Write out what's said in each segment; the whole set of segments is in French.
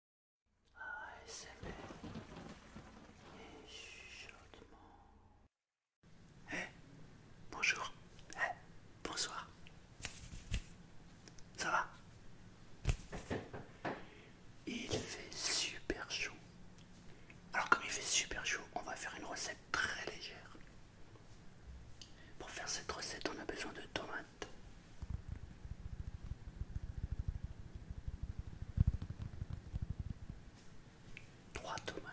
ASMR et eh, bonjour. Eh, bonsoir. Ça va Il fait super chaud. Alors comme il fait super chaud, on va faire une recette très légère. Pour faire cette recette, on a besoin de tomates. 3 tomates.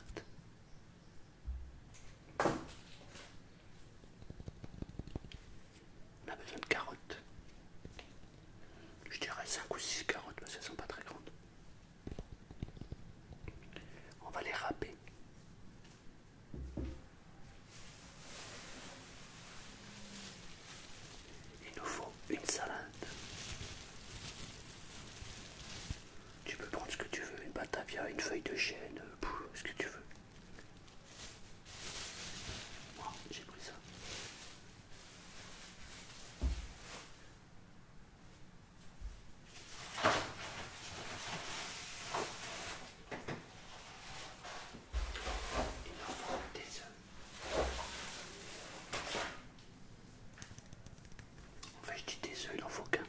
On a besoin de carottes. Je dirais 5 ou 6 carottes parce qu'elles ne sont pas très grandes. On va les râper. Il nous faut une salade. Tu peux prendre ce que tu veux, une batavia, une feuille de chêne, euh, ce que tu veux. Moi, j'ai pris ça. Il en faut des œufs. En fait, je dis des œufs, il en faut qu'un.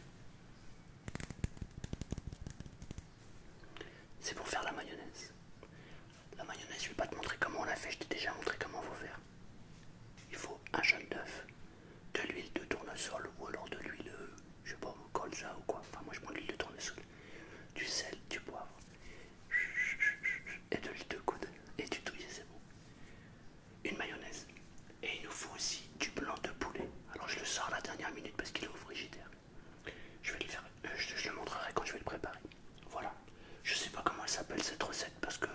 C'est pour faire la mayonnaise. La mayonnaise, je vais pas te montrer comment on la fait, je t'ai déjà montré comment faut faire. Il faut un jaune d'œuf, de l'huile de tournesol ou alors de l'huile, euh, je sais pas, colza ou quoi. Enfin, moi je prends de l'huile de tournesol, du sel, du poivre et de l'huile de coude et du douillet, c'est bon. Une mayonnaise. Et il nous faut aussi du blanc de poulet. Alors je le sors la dernière minute parce qu'il est au frigidaire. Je vais le faire, euh, je, le montrerai quand je vais le préparer. Voilà. Je sais pas comment elle s'appelle cette recette parce que euh,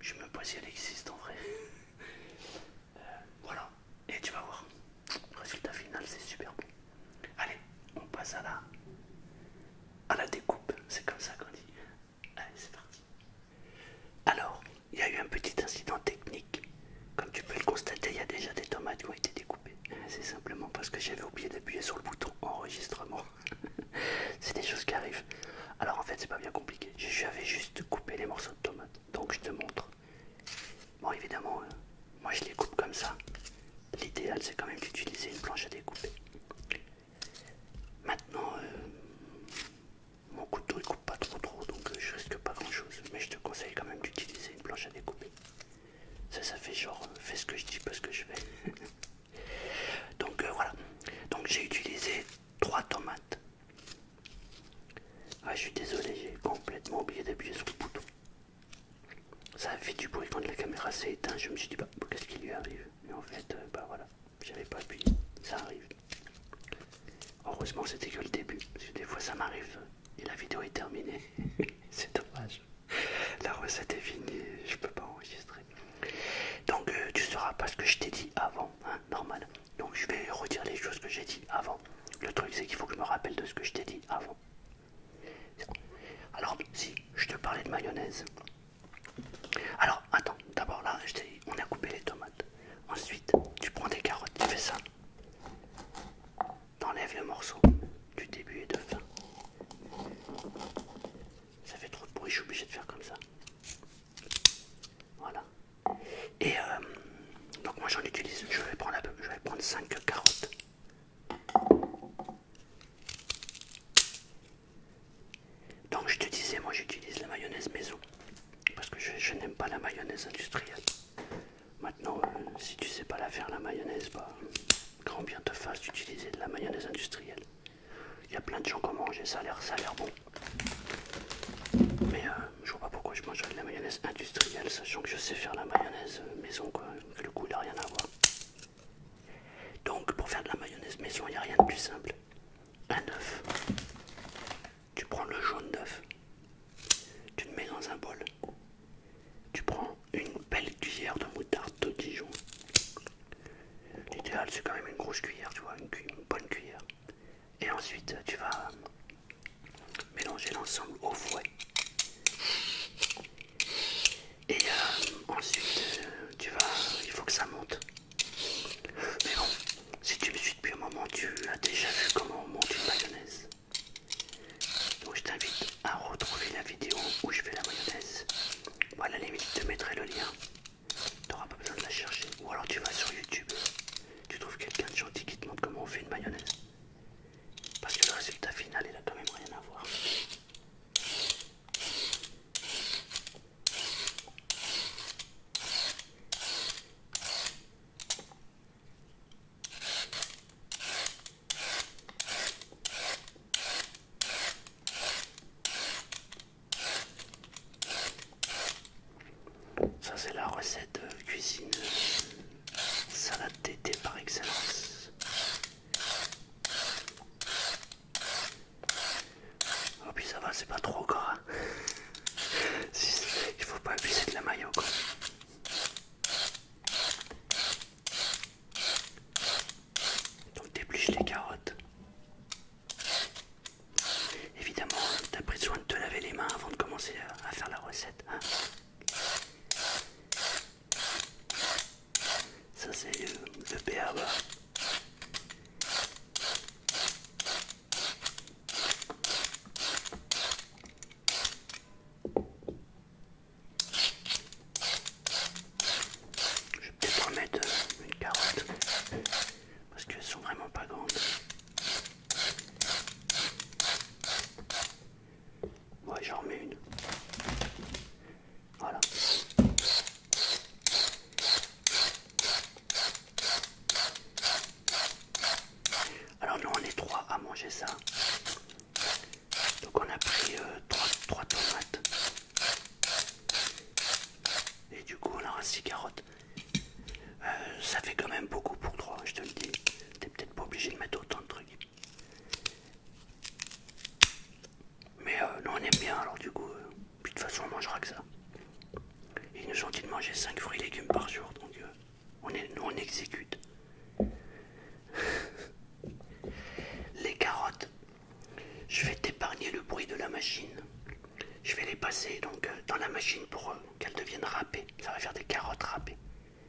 je me même si elle existe en vrai. Euh, voilà. Et tu vas voir. Résultat final, c'est super bon. Allez, on passe à la, découpe, c'est comme ça qu'on dit. Allez, c'est parti. Alors, il y a eu un petit incident technique. Comme tu peux le constater, il y a déjà des tomates qui ont été découpées. C'est simplement parce que j'avais oublié d'appuyer sur le bouton enregistrement. c'est des choses qui arrivent. Alors en fait, c'est pas bien compliqué. J'avais juste coupé les morceaux de tomates. Donc je te montre. Bon, évidemment, euh, moi je les coupe comme ça. L'idéal, c'est quand même d'utiliser une planche à découper. Maintenant, euh, mon couteau ne coupe pas trop trop, donc euh, je risque pas grand-chose. Mais je te conseille quand même d'utiliser une planche à découper. Ça, ça fait genre, fais ce que je dis, pas ce que je fais. donc voilà. Donc j'ai utilisé trois tomates. Ah, je suis désolé, j'ai complètement oublié d'appuyer sur le bouton. Ça a fait du bruit quand la caméra s'est éteinte. Je me suis dit, bah, qu'est-ce qui lui arrive Mais en fait, euh, bah voilà, j'avais pas appuyé. Ça arrive. Heureusement, c'était que le début. Parce que des fois, ça m'arrive et la vidéo est terminée. C'est dommage. La recette est finie, je peux pas enregistrer. Donc, euh, tu sauras pas ce que je t'ai dit avant, hein, normal. Donc, je vais redire les choses que j'ai dit avant. Le truc, c'est qu'il faut que je me rappelle de ce que je t'ai dit avant. Alors, si je te parlais de mayonnaise. Alors, attends, d'abord là, on a coupé les tomates. Ensuite, tu prends des carottes, tu fais ça. T'enlèves le morceau du début et de fin. Ça fait trop de bruit, je suis obligé de faire comme ça. Voilà. Et euh, donc moi j'en utilise, je vais prendre, je vais prendre 5 carottes. Donc je te disais, moi j'utilise la mayonnaise maison parce que je, n'aime pas la mayonnaise industrielle. Maintenant, euh, si tu sais pas la faire la mayonnaise, bah, grand bien te fasse d'utiliser de la mayonnaise industrielle. Il y a plein de gens qui mangent et ça a l'air bon. Mais euh, je vois pas pourquoi je mangerais de la mayonnaise industrielle, sachant que je sais faire la mayonnaise euh, maison quoi, que le coup n'a rien à voir. Donc pour faire de la mayonnaise maison, il n'y a rien de plus simple. Un œuf. Tu prends le jaune d'œuf. Tu le mets dans un bol. Tu prends une belle cuillère de moutarde de Dijon. L'idéal c'est quand même une grosse cuillère, tu vois, une bonne cuillère. Et ensuite tu vas Mélanger l'ensemble au fouet. Et euh, ensuite, euh, tu vas, il faut que ça monte. Mais bon, si tu me suis depuis un moment, tu as déjà vu comment on monte une mayonnaise. Donc je t'invite à retrouver la vidéo où je fais la mayonnaise. Voilà, à la limite, je te mettrai le lien. Tu n'auras pas besoin de la chercher. Ou alors tu vas sur YouTube, tu trouves quelqu'un de gentil qui te montre comment on fait une mayonnaise. Parce que le résultat final, il a quand même rien à voir. Ça c'est la recette euh, cuisine Salade d'été par excellence. Oh puis ça va, c'est pas trop gras. Il faut pas abuser de la mayo quoi. Donc dépluche les carottes. Évidemment, t'as pris soin de te laver les mains avant de commencer à faire la recette. Hein ça c'est le, père. Je vais peut-être mettre euh, une carotte parce qu'elles sont vraiment pas grandes ouais, j'en remets une. Voilà. Alors nous on est trois à manger ça. Donc on a pris euh, trois, trois tomates. Et du coup on aura six carottes. Euh, ça fait quand même beaucoup pour toi je te le dis. T'es peut-être pas obligé de mettre autant de trucs. Mais euh, on aime bien, alors du coup, euh, de toute façon on mangera que ça. Ils nous ont dit de manger 5 fruits et légumes par jour, donc on on exécute. les carottes, je vais t'épargner le bruit de la machine. Je vais les passer donc dans la machine pour qu'elles deviennent râpées. Ça va faire des carottes râpées.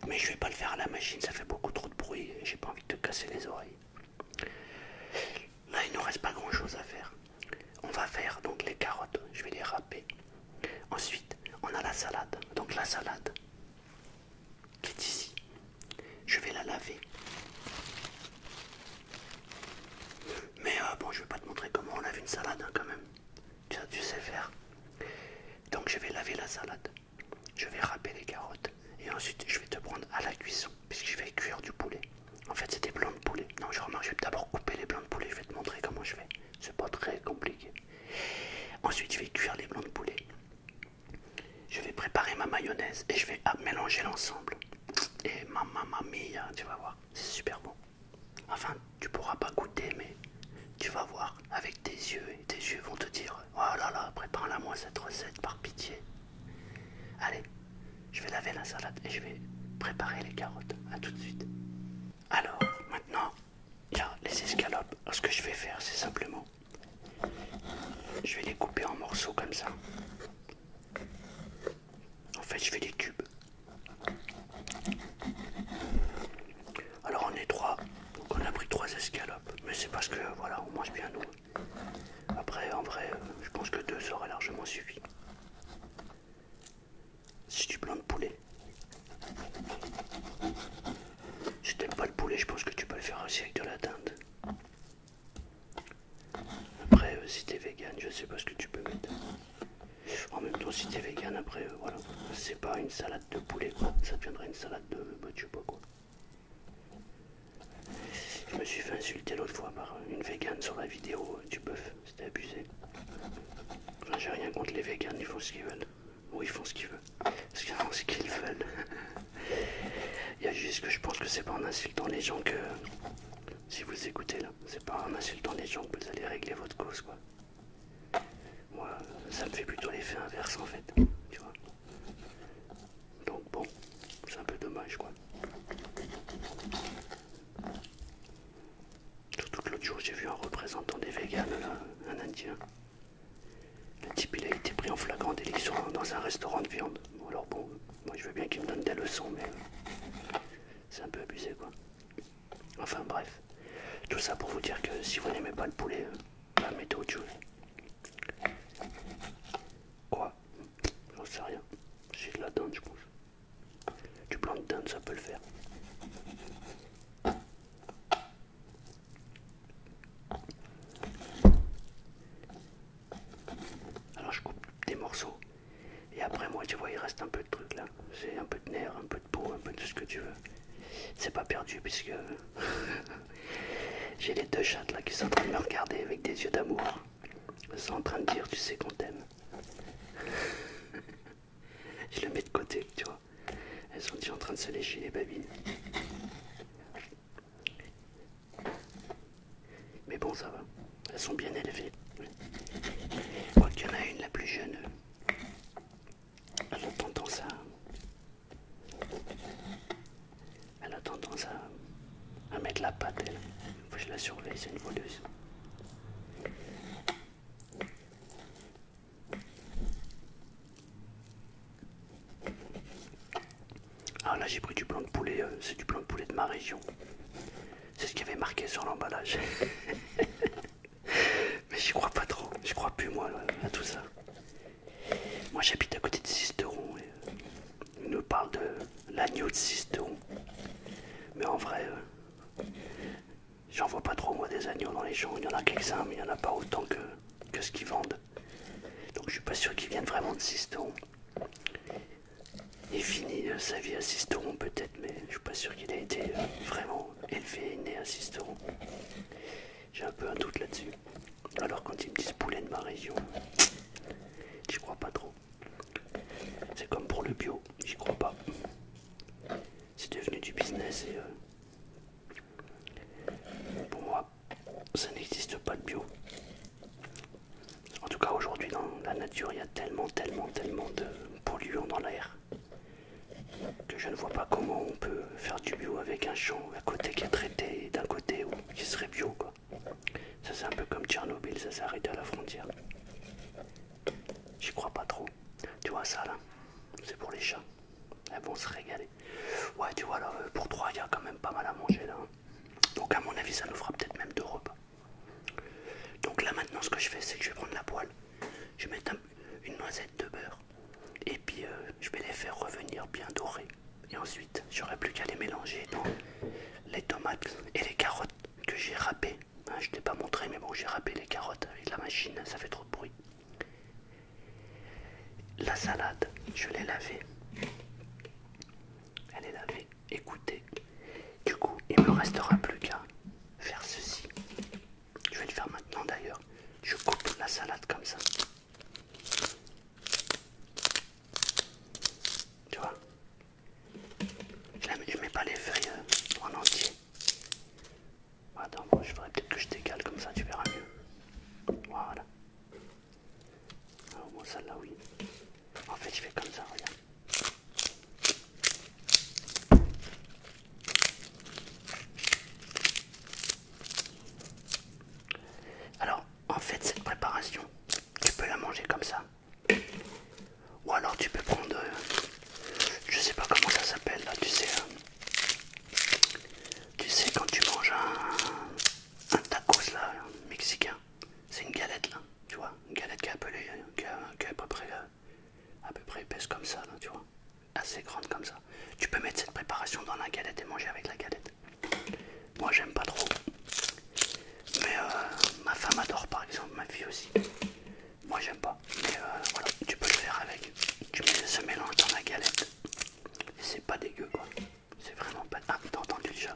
Mais je vais pas le faire à la machine, ça fait beaucoup trop de bruit j'ai pas envie de te casser les oreilles. Là, il nous reste pas grand chose à faire. On va faire donc les carottes, je vais les râper. Ensuite, on a la salade. Donc la salade qui est ici, je vais la laver. Mais euh, bon, je vais pas te montrer comment on lave une salade hein, quand même tu sais faire. Donc je vais laver la salade, je vais râper les carottes et ensuite je vais te prendre à la cuisson puisque je vais cuire du poulet. En fait c'est des blancs de poulet. Non je remarque, je vais d'abord couper les blancs de poulet, je vais te montrer comment je fais. C'est pas très compliqué. Ensuite je vais cuire les blancs de poulet. Je vais préparer ma mayonnaise et je vais ah, mélanger l'ensemble. Et ma mia, hein, tu vas voir, c'est super bon. Enfin, tu pourras pas goûter, mais tu vas voir avec tes yeux et tes yeux vont te dire Oh là là, prépare-la moi cette recette par pitié. Allez, je vais laver la salade et je vais préparer les carottes. A tout de suite. Alors, maintenant, il y a les escalopes. ce que je vais faire, c'est simplement je vais les couper en morceaux comme ça. En fait, je fais des cubes. Alors on est trois, on a pris trois escalopes, mais c'est parce que voilà, on mange bien nous. Après, en vrai, euh, je pense que deux aurait largement suffi. Si tu prends le poulet. Si t'aimes pas le poulet, je pense que tu peux le faire aussi avec de la teinte. Après, euh, si t'es vegan, je sais pas ce que tu peux mettre. En même temps, si t'es vegan, après, euh, voilà, c'est pas une salade de poulet, quoi. Ça deviendrait une salade de bah, sais pas quoi. Je me suis fait insulter l'autre fois par une vegan sur la vidéo euh, du bœuf, c'était abusé. j'ai rien contre les vegans, ils font ce qu'ils veulent. Ou ils font ce qu'ils veulent. Parce qu'ils font ce qu'ils veulent. Il y a juste que je pense que c'est pas en insultant les gens que. Si vous écoutez là, c'est pas en insultant les gens que vous allez régler votre cause, quoi. Moi, ça me fait plutôt l'effet inverse en fait, Donc bon, c'est un peu dommage quoi. Tout l'autre jour j'ai vu un représentant des véganes un indien. Le type il a été pris en flagrant délit dans un restaurant de viande. alors bon, moi je veux bien qu'il me donne des leçons mais euh, c'est un peu abusé quoi. Enfin bref, tout ça pour vous dire que si vous n'aimez pas le poulet, euh, bah, mettez autre chose. Quoi J'en sais rien. J'ai de la dinde, je pense. Du blanc de ça peut le faire. Alors je coupe des morceaux et après, moi, tu vois, il reste un peu de truc là. C'est un peu de nerfs, un peu de peau, un peu de tout ce que tu veux. C'est pas perdu puisque j'ai les deux chattes là qui sont en train de me regarder avec des yeux d'amour. Elles sont en train de dire, tu sais qu'on t'aime. Je le mets de côté, tu vois. Elles sont déjà en train de se lécher les babines. Mais bon, ça va. Elles sont bien élevées. Je qu'il y en a une, la plus jeune, elle a tendance à, mettre la pâte, elle. je la surveille, c'est une voleuse. Alors ah, là j'ai pris du blanc de poulet, euh, c'est du blanc de poulet de ma région. C'est ce qu'il y avait marqué sur l'emballage. Mais j'y crois pas trop, je crois plus moi à tout ça. Moi j'habite à côté de Sisteron euh, ils nous parle de l'agneau de Sisteron. Mais en vrai, euh, j'en vois pas trop moi des agneaux dans les champs. Il y en a quelques-uns, mais il y en a pas autant que, que ce qu'ils vendent. Donc je suis pas sûr qu'ils viennent vraiment de Sisteron. Il finit euh, sa vie à assisteront peut-être, mais je suis pas sûr qu'il a été euh, vraiment élevé et né Sisteron. J'ai un peu un doute là-dessus. Alors quand ils me disent poulet de ma région, j'y crois pas trop. C'est comme pour le bio, j'y crois pas. C'est devenu du business et euh, pour moi, ça n'existe pas de bio. En tout cas aujourd'hui dans la nature, il y a tellement, tellement, tellement de polluant dans l'air. Que je ne vois pas comment on peut faire du bio avec un champ à côté qui est traité d'un côté ou qui serait bio. Quoi. Ça c'est un peu comme Tchernobyl, ça s'est arrêté à la frontière. J'y crois pas trop. Tu vois ça là C'est pour les chats. Elles vont se régaler. Ouais tu vois là, euh, pour trois il y a quand même pas mal à manger là. Hein. Donc à mon avis ça nous fera peut-être même deux repas. Donc là maintenant ce que je fais c'est que je vais prendre la poêle, je vais mettre une noisette de beurre et puis euh, je vais les faire revenir bien dorés. Et ensuite j'aurai plus qu'à les mélanger dans les tomates et les carottes que j'ai râpées. Hein, je ne t'ai pas montré mais bon j'ai râpé les carottes avec la machine, ça fait trop de bruit. La salade, je l'ai lavée. Elle est lavée. Écoutez, Du coup, il me restera plus qu'à faire ceci. Je vais le faire maintenant d'ailleurs. Je coupe la salade comme ça. Tu vois Je mets pas les feuilles en entier. Attends, bon, je ferais peut-être que je décale comme ça, tu verras mieux. Voilà. Ah, au celle-là, oui. En fait, je fais comme ça, regarde. Alors, en fait, cette préparation, tu peux la manger comme ça. Ou alors tu peux prendre, euh, je sais pas comment ça s'appelle là, tu sais, euh, tu sais quand tu manges un, un tacos là, mexicain, c'est une galette là, tu vois, une galette qui est, à, peu près, euh, à peu près épaisse comme ça, tu vois, assez grande comme ça. Tu peux mettre cette préparation dans la galette et manger avec la galette. Moi j'aime pas trop, mais euh, ma femme adore par exemple, ma fille aussi. Moi j'aime pas, mais euh, voilà, tu peux le faire avec. Tu mets ce mélange dans la galette c'est pas dégueu quoi. C'est vraiment pas. Ah, t'as déjà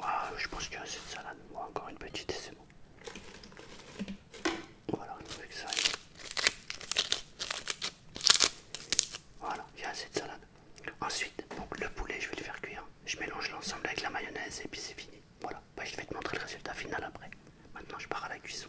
Ah, je pense qu'il y a assez de salade. encore une petite et c'est bon. Voilà, avec ça. Voilà, il y a assez de salade. Ensuite, pour le poulet, je vais le faire cuire. Je mélange l'ensemble avec la mayonnaise et puis c'est fini. Voilà, bah, je vais te montrer le résultat final après. Maintenant, je pars à la cuisson.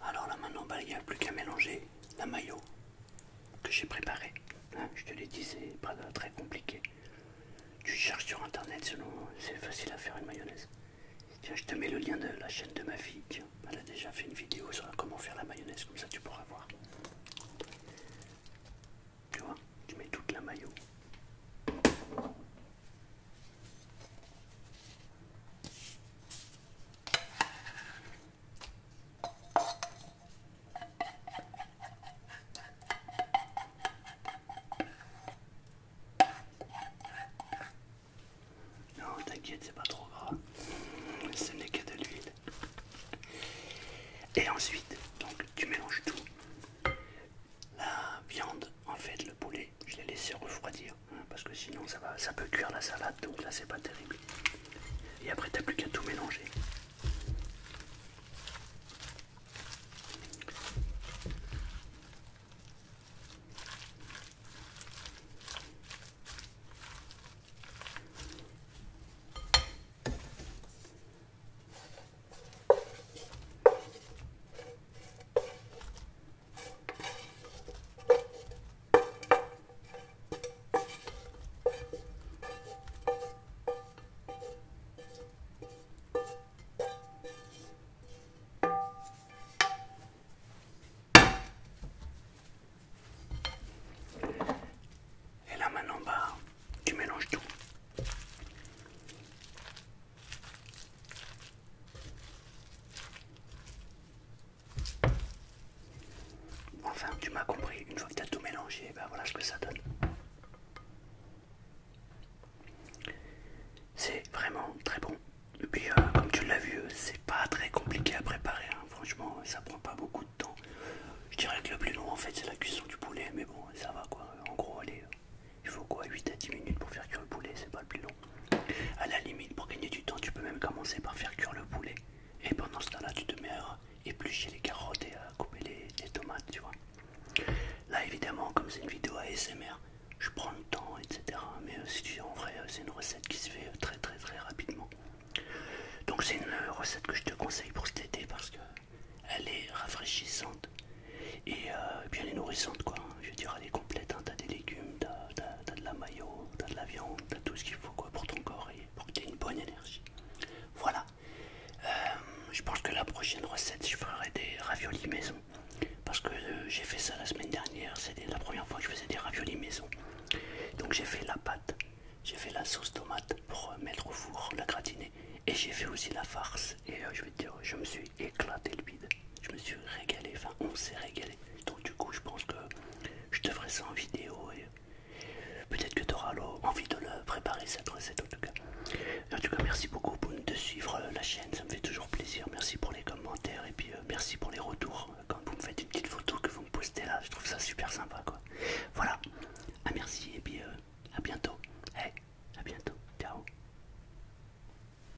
Alors là maintenant, bah, il n'y a plus qu'à mélanger la maillot que j'ai préparé. Hein. je te l'ai dit, c'est pas très compliqué. Tu cherches sur internet, sinon c'est facile à faire une mayonnaise. Tiens, je te mets le lien de la chaîne de ma fille. elle a déjà fait une vidéo sur comment faire la mayonnaise, comme ça tu pourras voir. Tu vois, tu mets toute la maillot. Non, oh, t'inquiète, c'est pas trop grave. Ce n'est que de l'huile. Et ensuite, donc tu mélanges tout. La viande, en fait, le poulet je l'ai laissé refroidir hein, parce que sinon ça va, ça peut cuire la salade donc là c'est pas terrible. Et après t'as plus qu'à tout mélanger. Et là maintenant, bas, tu mélanges tout. Enfin, tu m'as compris, une fois que tu as tout mélangé, ben voilà ce que ça donne. C'est vraiment très bon. Et puis, euh, comme tu l'as vu, c'est pas très compliqué à préparer. Hein. Franchement, ça prend pas beaucoup de temps. Je dirais que le plus long, en fait, c'est la cuisson du poulet. Mais bon, ça va quoi. En gros, allez, euh, il faut quoi 8 à 10 minutes pour faire cuire le poulet. C'est pas le plus long. À la limite, pour gagner du temps, tu peux même commencer par faire cuire le poulet. Et pendant ce temps-là, tu te mets à éplucher les carottes et à couper les, tomates, tu vois. Là, évidemment, comme c'est une vidéo ASMR, je prends le temps, etc. Mais euh, si tu en vrai, euh, c'est une recette qui se fait euh, très très très rapidement. Donc c'est une recette que je te conseille pour cet été parce que elle est rafraîchissante et, bien nourrissante quoi. Je veux dire, elle est complète. Hein. T'as des légumes, t'as t'as de la maillot, t'as de la viande, t'as tout ce qu'il faut quoi pour ton corps et pour que tu aies une bonne énergie. Voilà. Euh, je pense que la prochaine recette, je ferai des raviolis maison. Parce que euh, j'ai fait ça la semaine dernière, c'était la première fois que je faisais des raviolis maison. Donc j'ai fait la pâte, j'ai fait la sauce tomate pour euh, mettre au four, la gratiner. Et j'ai fait aussi la farce. Et je vais te dire, je me suis éclaté le bide. Je me suis régalé, enfin on s'est régalé. Donc du coup, je pense que je te ferai ça en vidéo et peut-être que tu auras envie de le préparer cette recette en tout cas. En tout cas, merci beaucoup de suivre euh, la chaîne, ça me fait toujours plaisir. Merci pour les commentaires et puis euh, merci pour les retours. Quand vous me faites une petite photo que vous me postez là, je trouve ça super sympa quoi. Voilà, à ah, merci et puis euh, à bientôt. Hey, eh, à bientôt. Ciao.